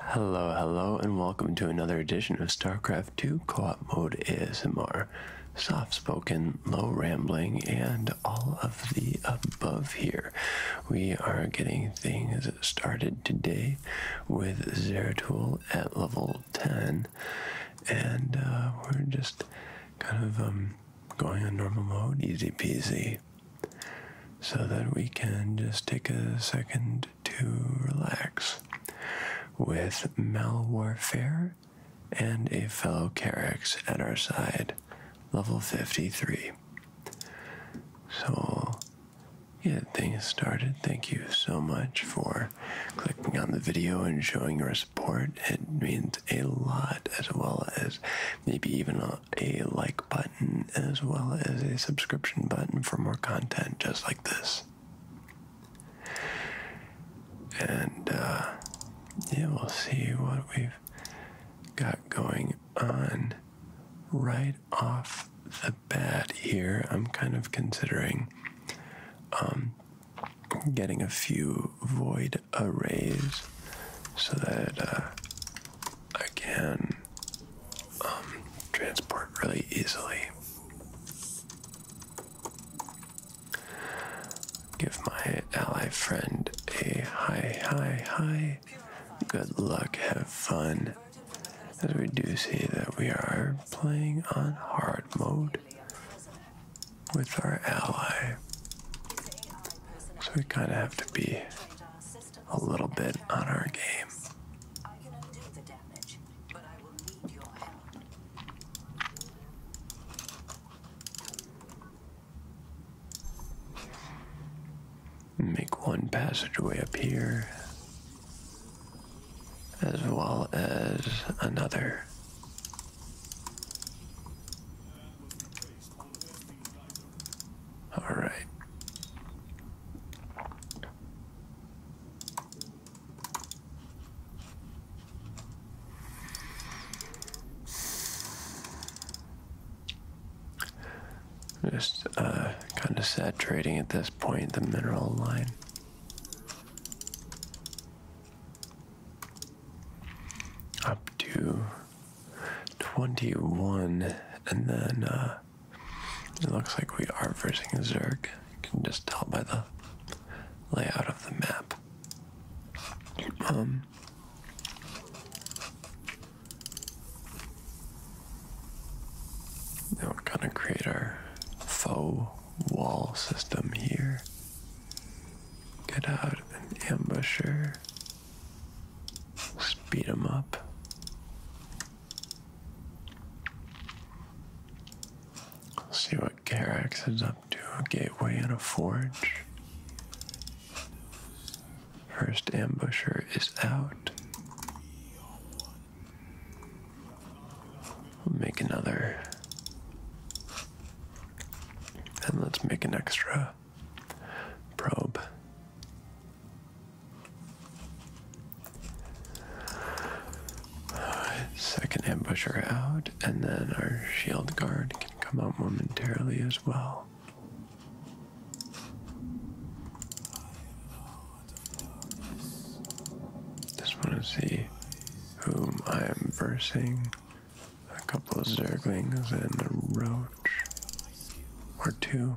Hello, hello, and welcome to another edition of StarCraft 2 Co-op Mode ASMR. Soft-spoken, low rambling, and all of the above here. We are getting things started today with Zeratul at level 10, and uh, we're just kind of um, going in normal mode, easy peasy so that we can just take a second to relax with Malwarfare and a fellow Carex at our side, level 53. So yeah, things started. Thank you so much for clicking on the video and showing your support. It means a lot, as well as maybe even a a like button as well as a subscription button for more content just like this. And uh, yeah, we'll see what we've got going on right off the bat here. I'm kind of considering um, getting a few void arrays so that uh, I can um, transport really easily. Give my ally friend a hi, hi, hi. Good luck, have fun. As we do see that we are playing on hard mode with our ally. So we kind of have to be a little bit on our game. Make one passageway up here, as well as another. All right. Just uh, kind of saturating at this point the mineral line. Up to 21, and then uh, it looks like we are versing Zerg. You can just tell by the layout of the map. Um, now we're gonna create our faux wall system here. Get out an ambusher. Speed him up. Let's see what Garax is up to. A gateway and a forge. First ambusher is out. make another. And let's make an extra probe. Alright, second ambusher out, and then our shield guard can come out momentarily as well. Just want to see whom I am versing. A couple of zerglings and a roach or two.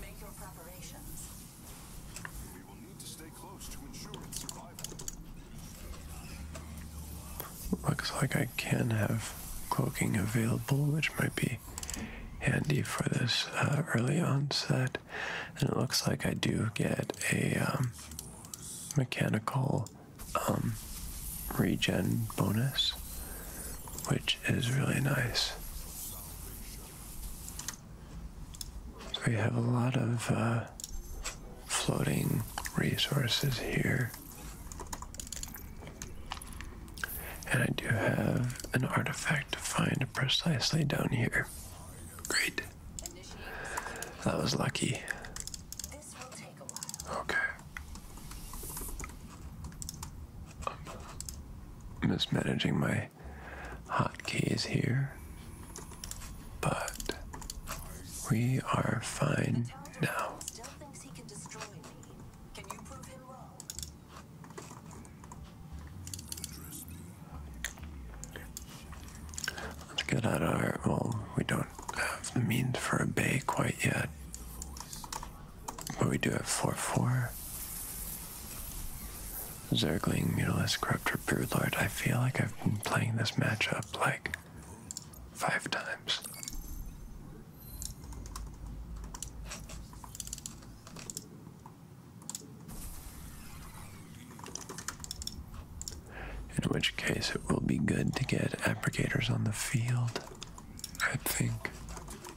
Make your preparations. We will need to stay close to ensure survival. Looks like I can have cloaking available, which might be handy for this uh, early onset. And it looks like I do get a um, mechanical um, regen bonus, which which is really nice. We have a lot of uh, floating resources here. And I do have an artifact to find precisely down here. Great. That was lucky. Okay. I'm mismanaging my hotkeys here, but we are fine now. Let's get out of our. Well, we don't have the means for a bay quite yet. But we do have 4-4? Zergling, Mutalisk, Corruptor, Broodlord. I feel like I've been playing this matchup like five times. In which case, it will be good to get applicators on the field, I think.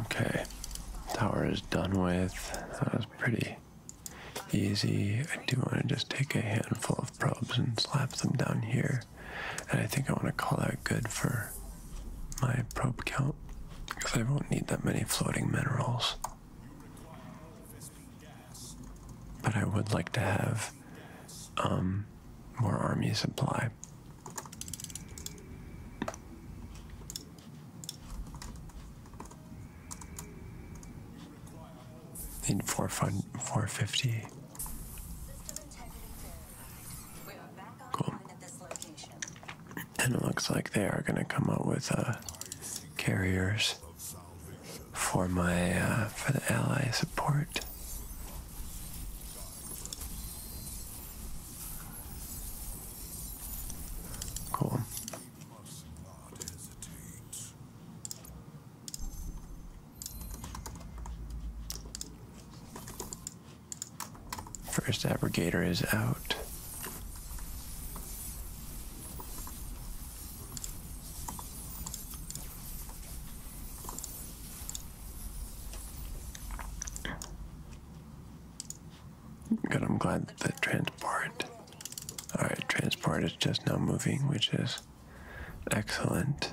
Okay, tower is done with. That was pretty easy. I do want to just take a handful of probes and slap them down here. And I think I want to call that good for my probe count because I won't need that many floating minerals. But I would like to have um, more army supply. Need four four fifty Cool. And it looks like they are going to come out with uh, carriers for my uh, for the ally support. Cool. First abrogator is out. Good, I'm glad that transport. Alright, transport is just now moving, which is excellent.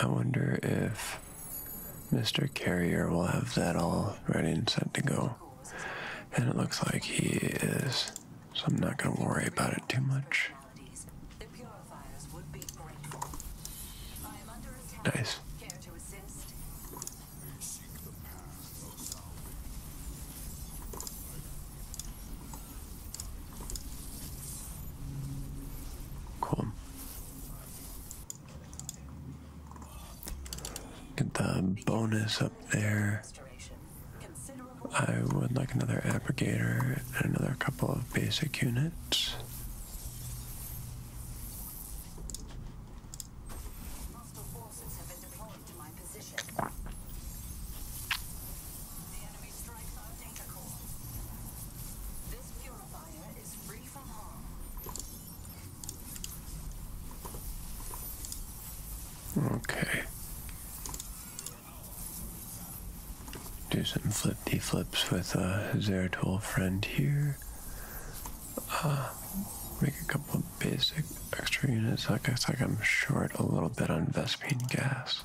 I wonder if Mr. Carrier will have that all ready and set to go. And it looks like he is, so I'm not going to worry about it too much. Nice. Cool. Get the bonus up there. I would like another abrogator and another couple of basic units. Okay. Do some flip flips with uh, a his friend here. Uh, make a couple of basic extra units. Like I like I'm short a little bit on Vespin gas.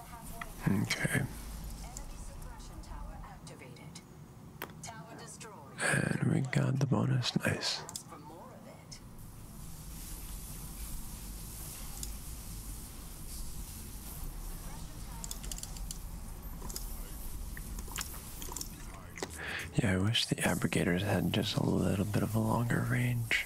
Okay. And we got the bonus. Nice. Yeah, I wish the abrogators had just a little bit of a longer range.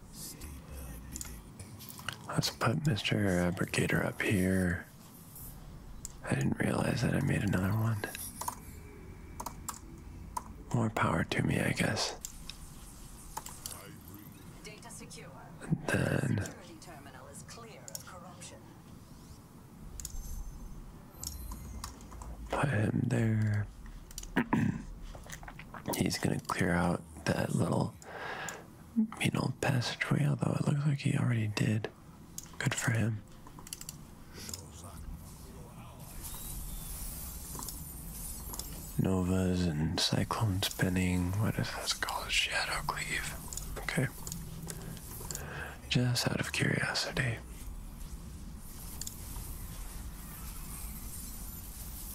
Let's put Mr. Brigator up here. I didn't realize that I made another one. More power to me, I guess. then. Put him there. He's gonna clear out that little little mean old passageway, although it looks like he already did. Good for him. Novas and cyclone spinning. What is this called? Shadow cleave. Okay. Just out of curiosity.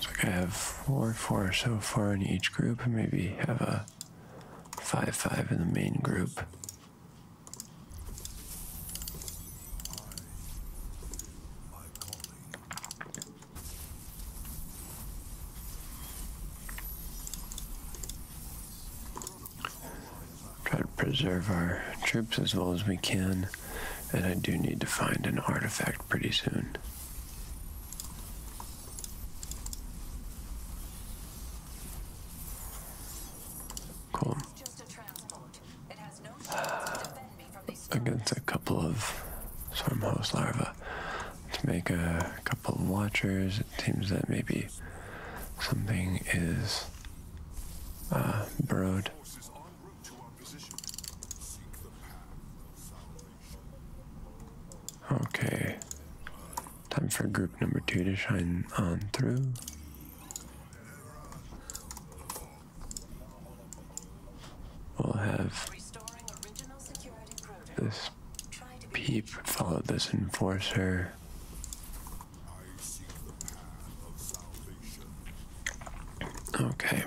So I have four, four so far in each group. Maybe have a five, five in the main group try to preserve our troops as well as we can, and I do need to find an artifact pretty soon. Cool. against a couple of swarm host larvae. let make a couple of watchers. It seems that maybe something is uh, borrowed. Okay. Time for group number two to shine on through. We'll have this peep follow this enforcer. Okay.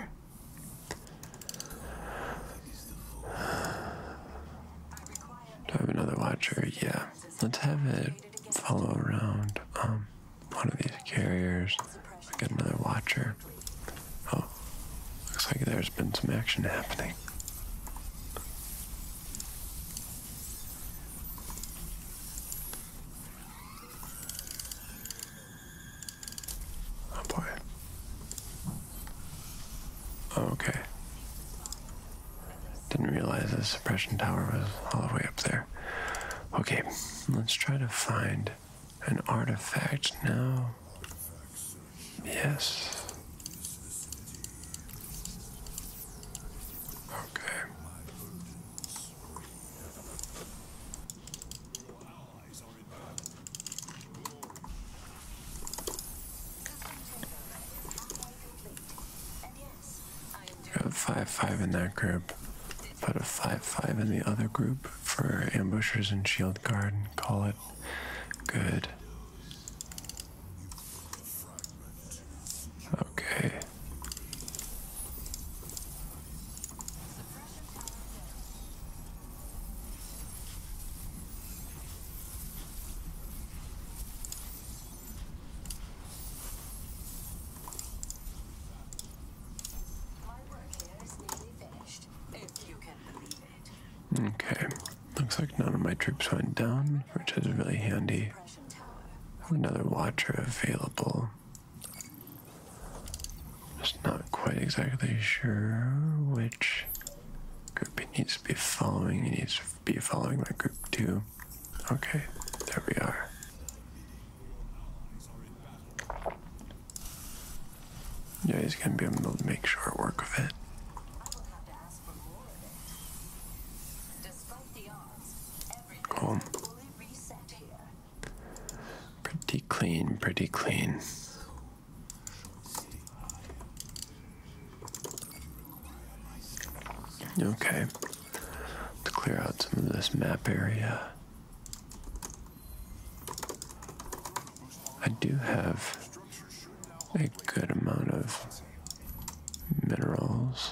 Do I have another watcher? Yeah. Let's have it follow around um, one of these carriers. I got another watcher. Oh, looks like there's been some action happening. Oh boy. Oh, okay. Didn't realize the suppression tower was all the way up there. Okay, let's try to find an artifact now. Yes. Okay. Got a 5-5 in that group. Put a 5-5 in the other group for ambushers and shield guard and call it good. Okay. Okay. looks like none of my troops went down, which is really handy. Another watcher available. Just not quite exactly sure which group it needs to be following. It needs to be following my group too. Okay, there we are. Yeah, he's gonna be able to make short work of it. Cool. Pretty clean, pretty clean. Okay. To clear out some of this map area. I do have a good amount of minerals.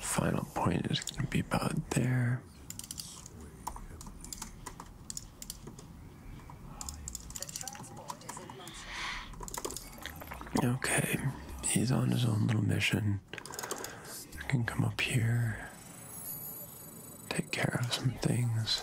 Final point is going to be about there. Okay, he's on his own little mission. can come up here, take care of some things.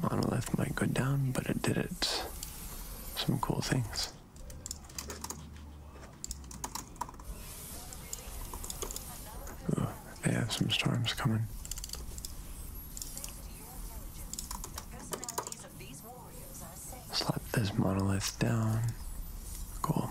Monolith might go down, but it did it. Some cool things. Yeah, some storms coming. Slap this monolith down. Cool.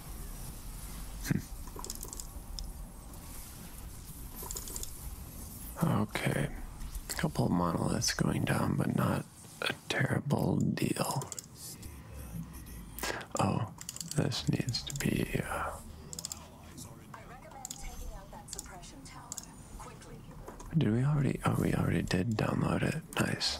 Hmm. Okay, a couple of monoliths going down, but not a terrible deal. Oh, this needs to be. Uh, did we already? Oh, we already did download it. Nice.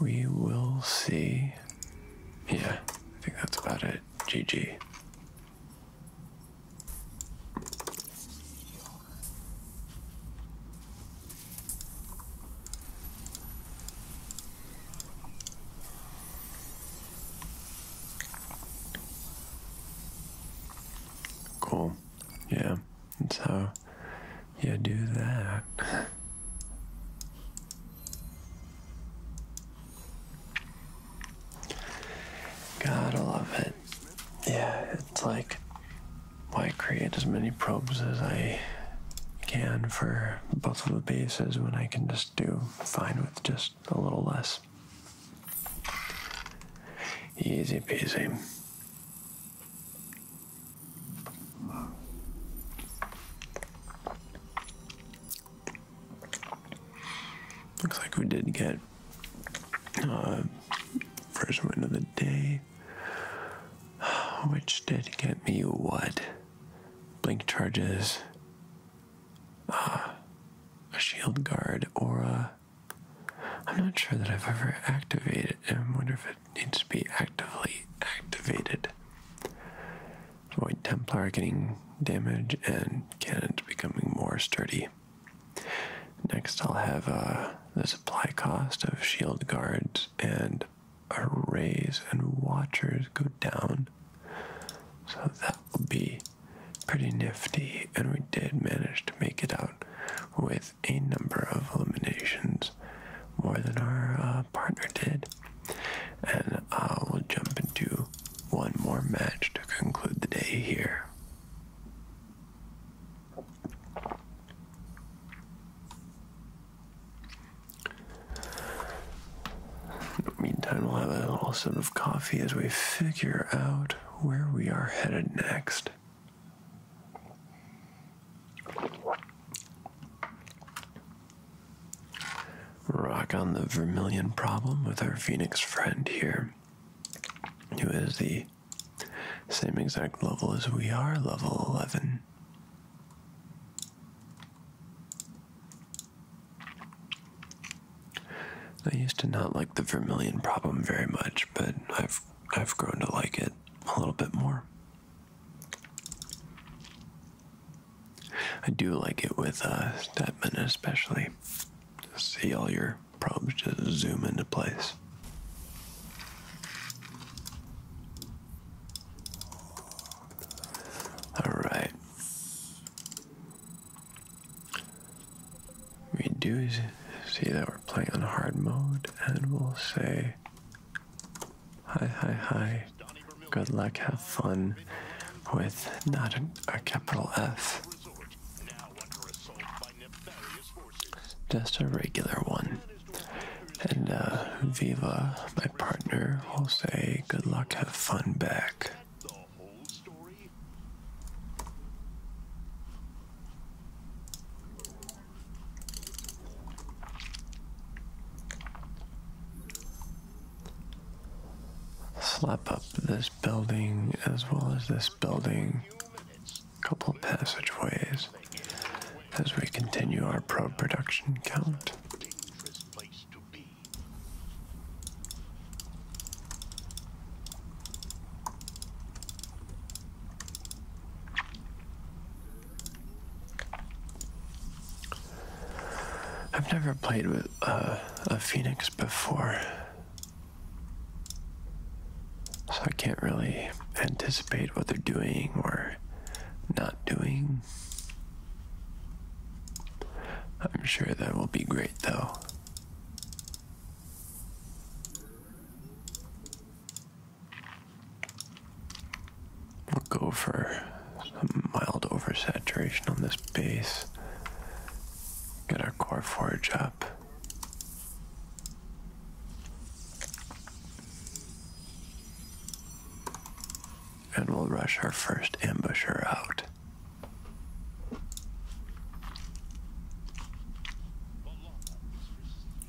We will see. Yeah, I think that's about it. GG. Cool. Yeah. And so you do that. Gotta love it. Yeah, it's like why create as many probes as I can for both of the bases when I can just do fine with just a little less. Easy peasy. Looks like we did get uh, first win of the day, which did get me what? Blink charges, uh, a shield guard, or a I'm not sure that I've ever activated it. I wonder if it needs to be actively activated. Void Templar getting damage and cannons becoming more sturdy. Next, I'll have uh, the supply cost of shield guards and arrays and watchers go down. So that will be pretty nifty, and we did manage to make it out with a number of eliminations, more than our uh, partner did. And I'll uh, jump into one more match to conclude the day here. meantime, we'll have a little sip of coffee as we figure out where we are headed next. Rock on the Vermilion problem with our Phoenix friend here, who is the same exact level as we are, level 11. I used to not like the Vermilion problem very much, but I've I've grown to like it a little bit more. I do like it with uh, Stepman especially. See all your probes just zoom into place. All right. Reduce see that we're playing on hard mode, and we'll say, Hi, hi, hi. Good luck, have fun with not a capital F, just a regular one. And uh, Viva, my partner, will say, Good luck, have fun back. Slap up this building as well as this building, a couple passageways as we continue our pro production count. I've never played with uh, a Phoenix before, so I can't really anticipate what they're doing or not doing. I'm sure that will be great though. We'll go for some mild oversaturation on this base. Get our core forge up. And we'll rush our first ambusher out.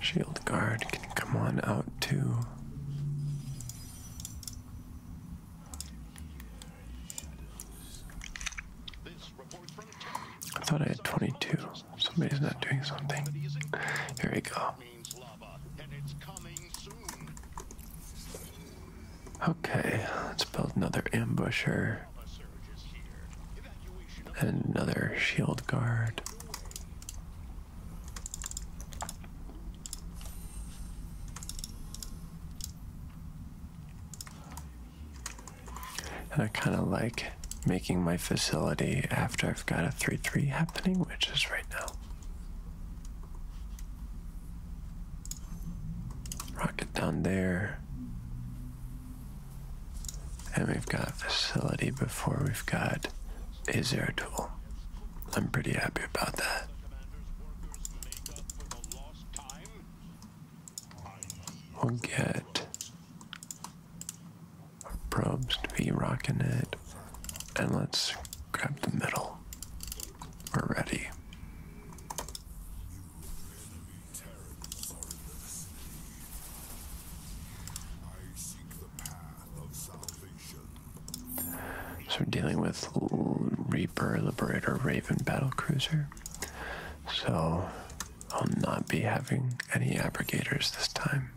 Shield guard can come on out too. I thought I had 22. Somebody's not doing something. Here we go. Okay, let's build another ambusher. And another shield guard. And I kind of like making my facility after I've got a 3-3 happening, which is right now. Rocket down there. And we've got facility before we've got a tool. I'm pretty happy about that. We'll get our probes to be rocking it. And let's grab the middle. We're ready. Terrans I seek So dealing with Reaper, Liberator, Raven, Battlecruiser. So I'll not be having any abrogators this time.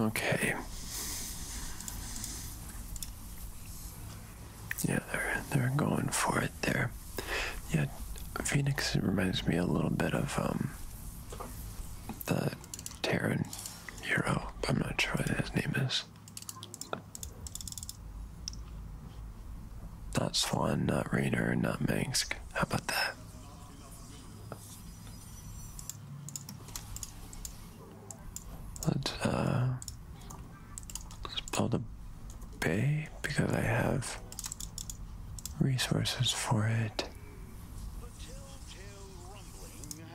Okay. Yeah, they're they're going for it there. Yeah, Phoenix reminds me a little bit of um, the Terran hero. I'm not sure what his name is. Not Swan, not Rainer, not Minsk. How about that? Let's, uh, let's build a bay because I have resources for it.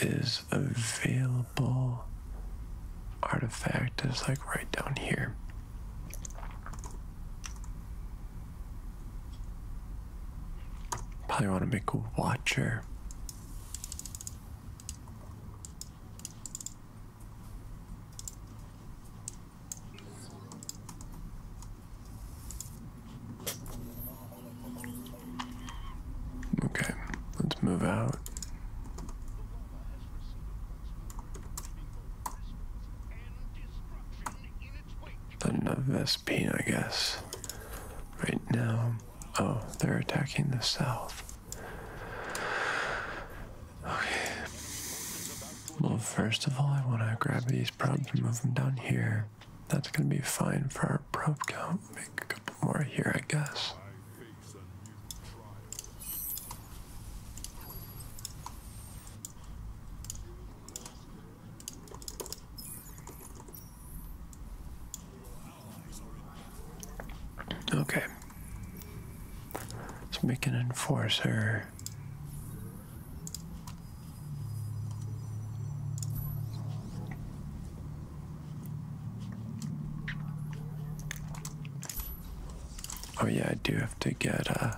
Is available artifact is like right down here. Probably want to make a watcher. Okay, let's move out. Another Vespine, I guess. Right now, oh, they're attacking the south. Okay. Well, first of all, I want to grab these props and move them down here. That's going to be fine for our prop count more here, I guess. Okay. Let's make an enforcer. Oh yeah, I do have to get uh,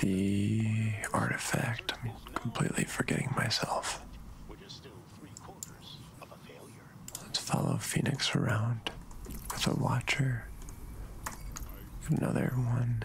the artifact. I'm completely forgetting myself. Let's follow Phoenix around with a watcher. Another one.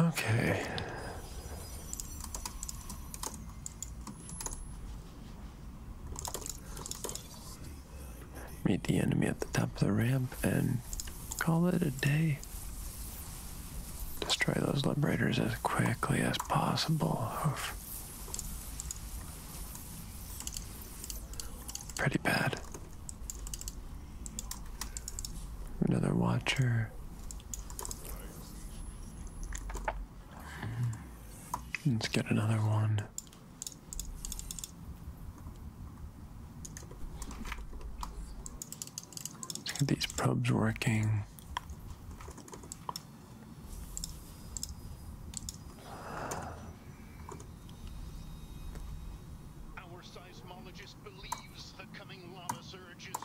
Okay. Meet the enemy at the top of the ramp and call it a day. Destroy those liberators as quickly as possible. Oof. Pretty bad. Another watcher. Let's get another one. Look at these probes working. Our seismologist believes the coming lava surge is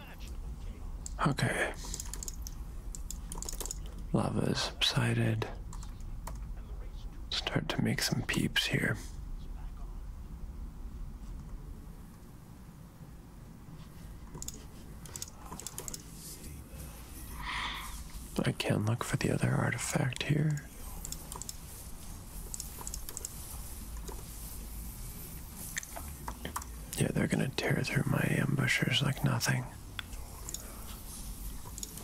Okay. Lava has subsided. Start to make some peeps here. I can look for the other artifact here. Yeah, they're gonna tear through my ambushers like nothing.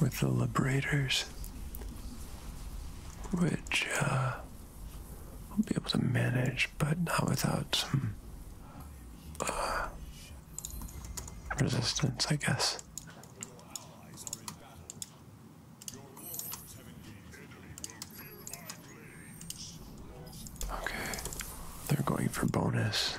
With the Liberators. Which, uh, I'll be able to manage, but not without some uh, resistance, I guess. Okay, they're going for bonus.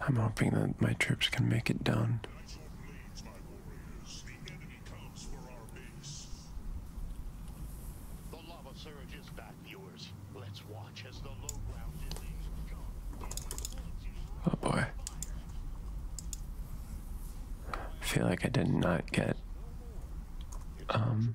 I'm hoping that my troops can make it done. The lava surge is back, viewers. Let's watch as the low ground Oh boy. I feel like I did not get um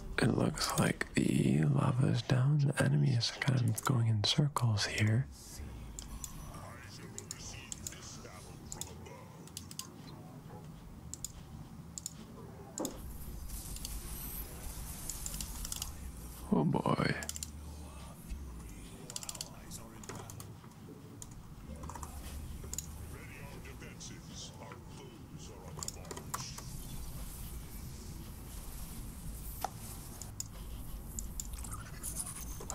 It looks like the lava is down. The enemy is kind of going in circles here. Oh boy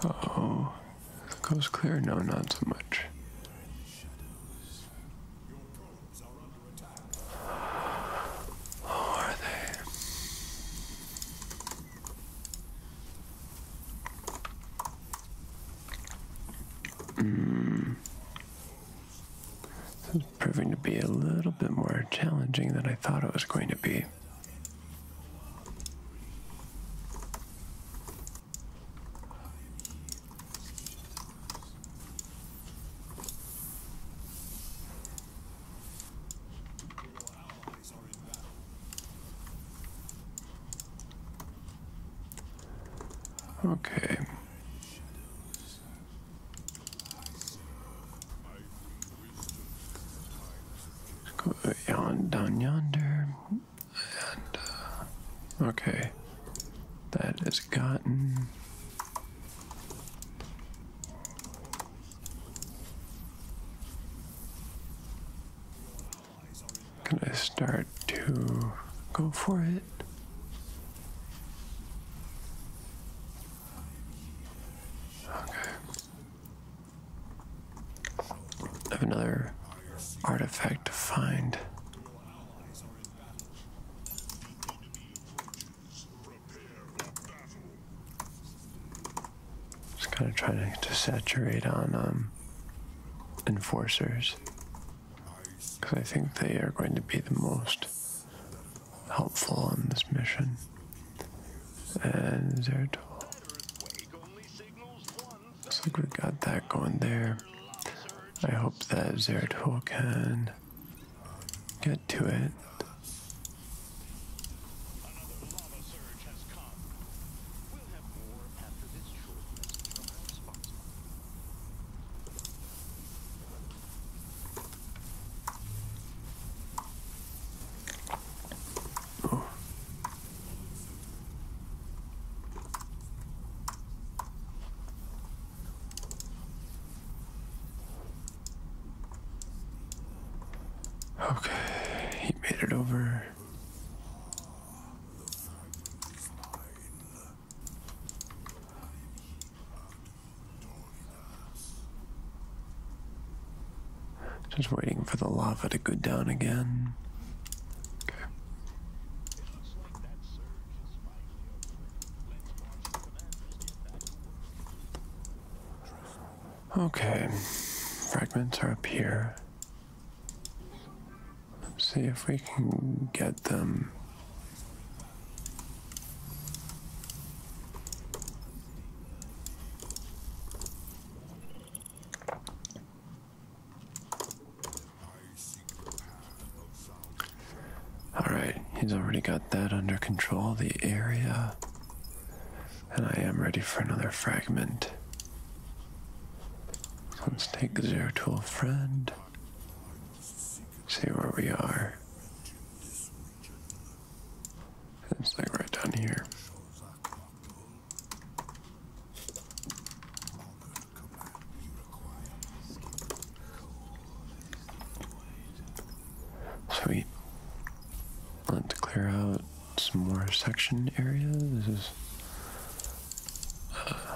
oh, the coast clear? No, not so much. are they? Mm. This is proving to be a little bit more challenging than I thought it was going to be. Okay, Yon, down yonder, and uh, okay, that is gotten. Can I start to go for it. Okay. I have another artifact to find. Just kind of trying to saturate on um, enforcers because I think they are going to be the most helpful on this mission. And zero Looks like we got that going there. I hope that Zeratul can get to it. Oh. Okay, he made it over. Just waiting for the lava to go down again. Okay. Okay, fragments are up here see if we can get them. Alright, he's already got that under control, the area. And I am ready for another fragment. Let's take zero to a friend see where we are. It's like right down here. So we Want to clear out some more section area? This is uh,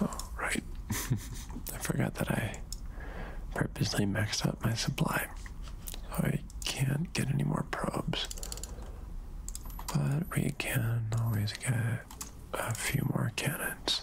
Oh, right. I forgot that I purposely maxed out my supply. So I can't get any more probes. But we can always get a few more cannons.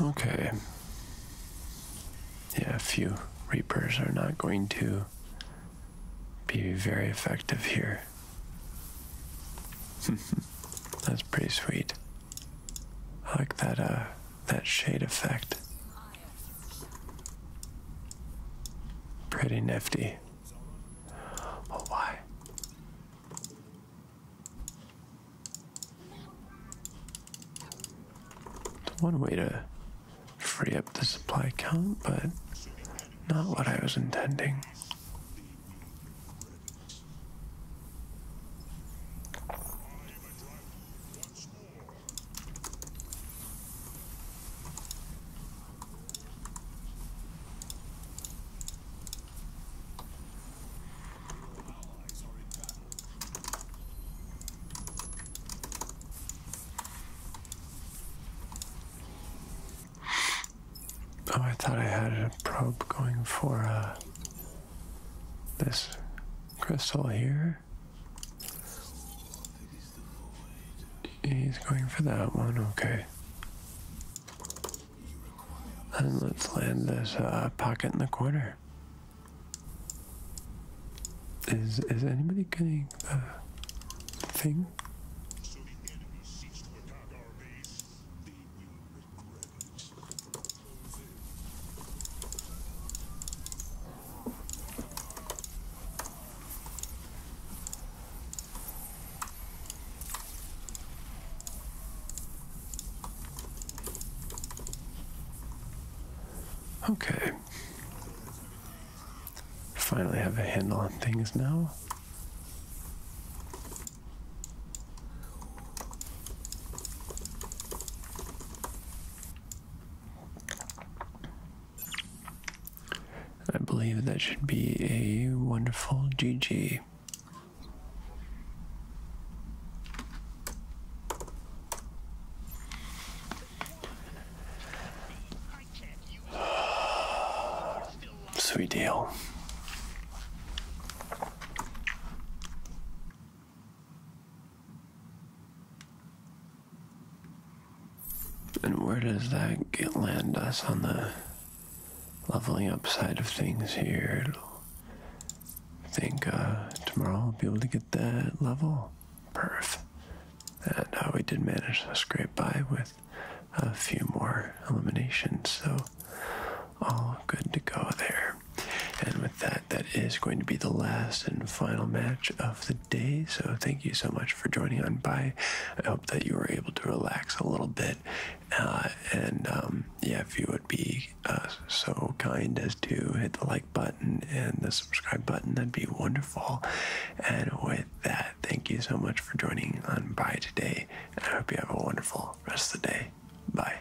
Okay. Yeah, a few reapers are not going to be very effective here. That's pretty sweet. I like that uh that shade effect. Pretty nifty. Oh why? One way to free up the supply count, but not what I was intending. Oh, I thought I had a probe going for uh, this crystal here. He's going for that one, okay. And let's land this uh, pocket in the corner. Is is anybody getting the thing? Okay. Finally have a handle on things now. I believe that should be a wonderful GG. Sweet deal. And where does that get land us on the leveling up side of things here. I think uh, tomorrow i will be able to get that level. Perf. And uh, we did manage to scrape by with a few more eliminations, so all good to go there. And with that, that is going to be the last and final match of the day. So thank you so much for joining on Bye. I hope that you were able to relax a little bit uh, and um, yeah, if you would be uh, so kind as to hit the like button and the subscribe button, that'd be wonderful. And with that, thank you so much for joining on Bye Today. And I hope you have a wonderful rest of the day. Bye.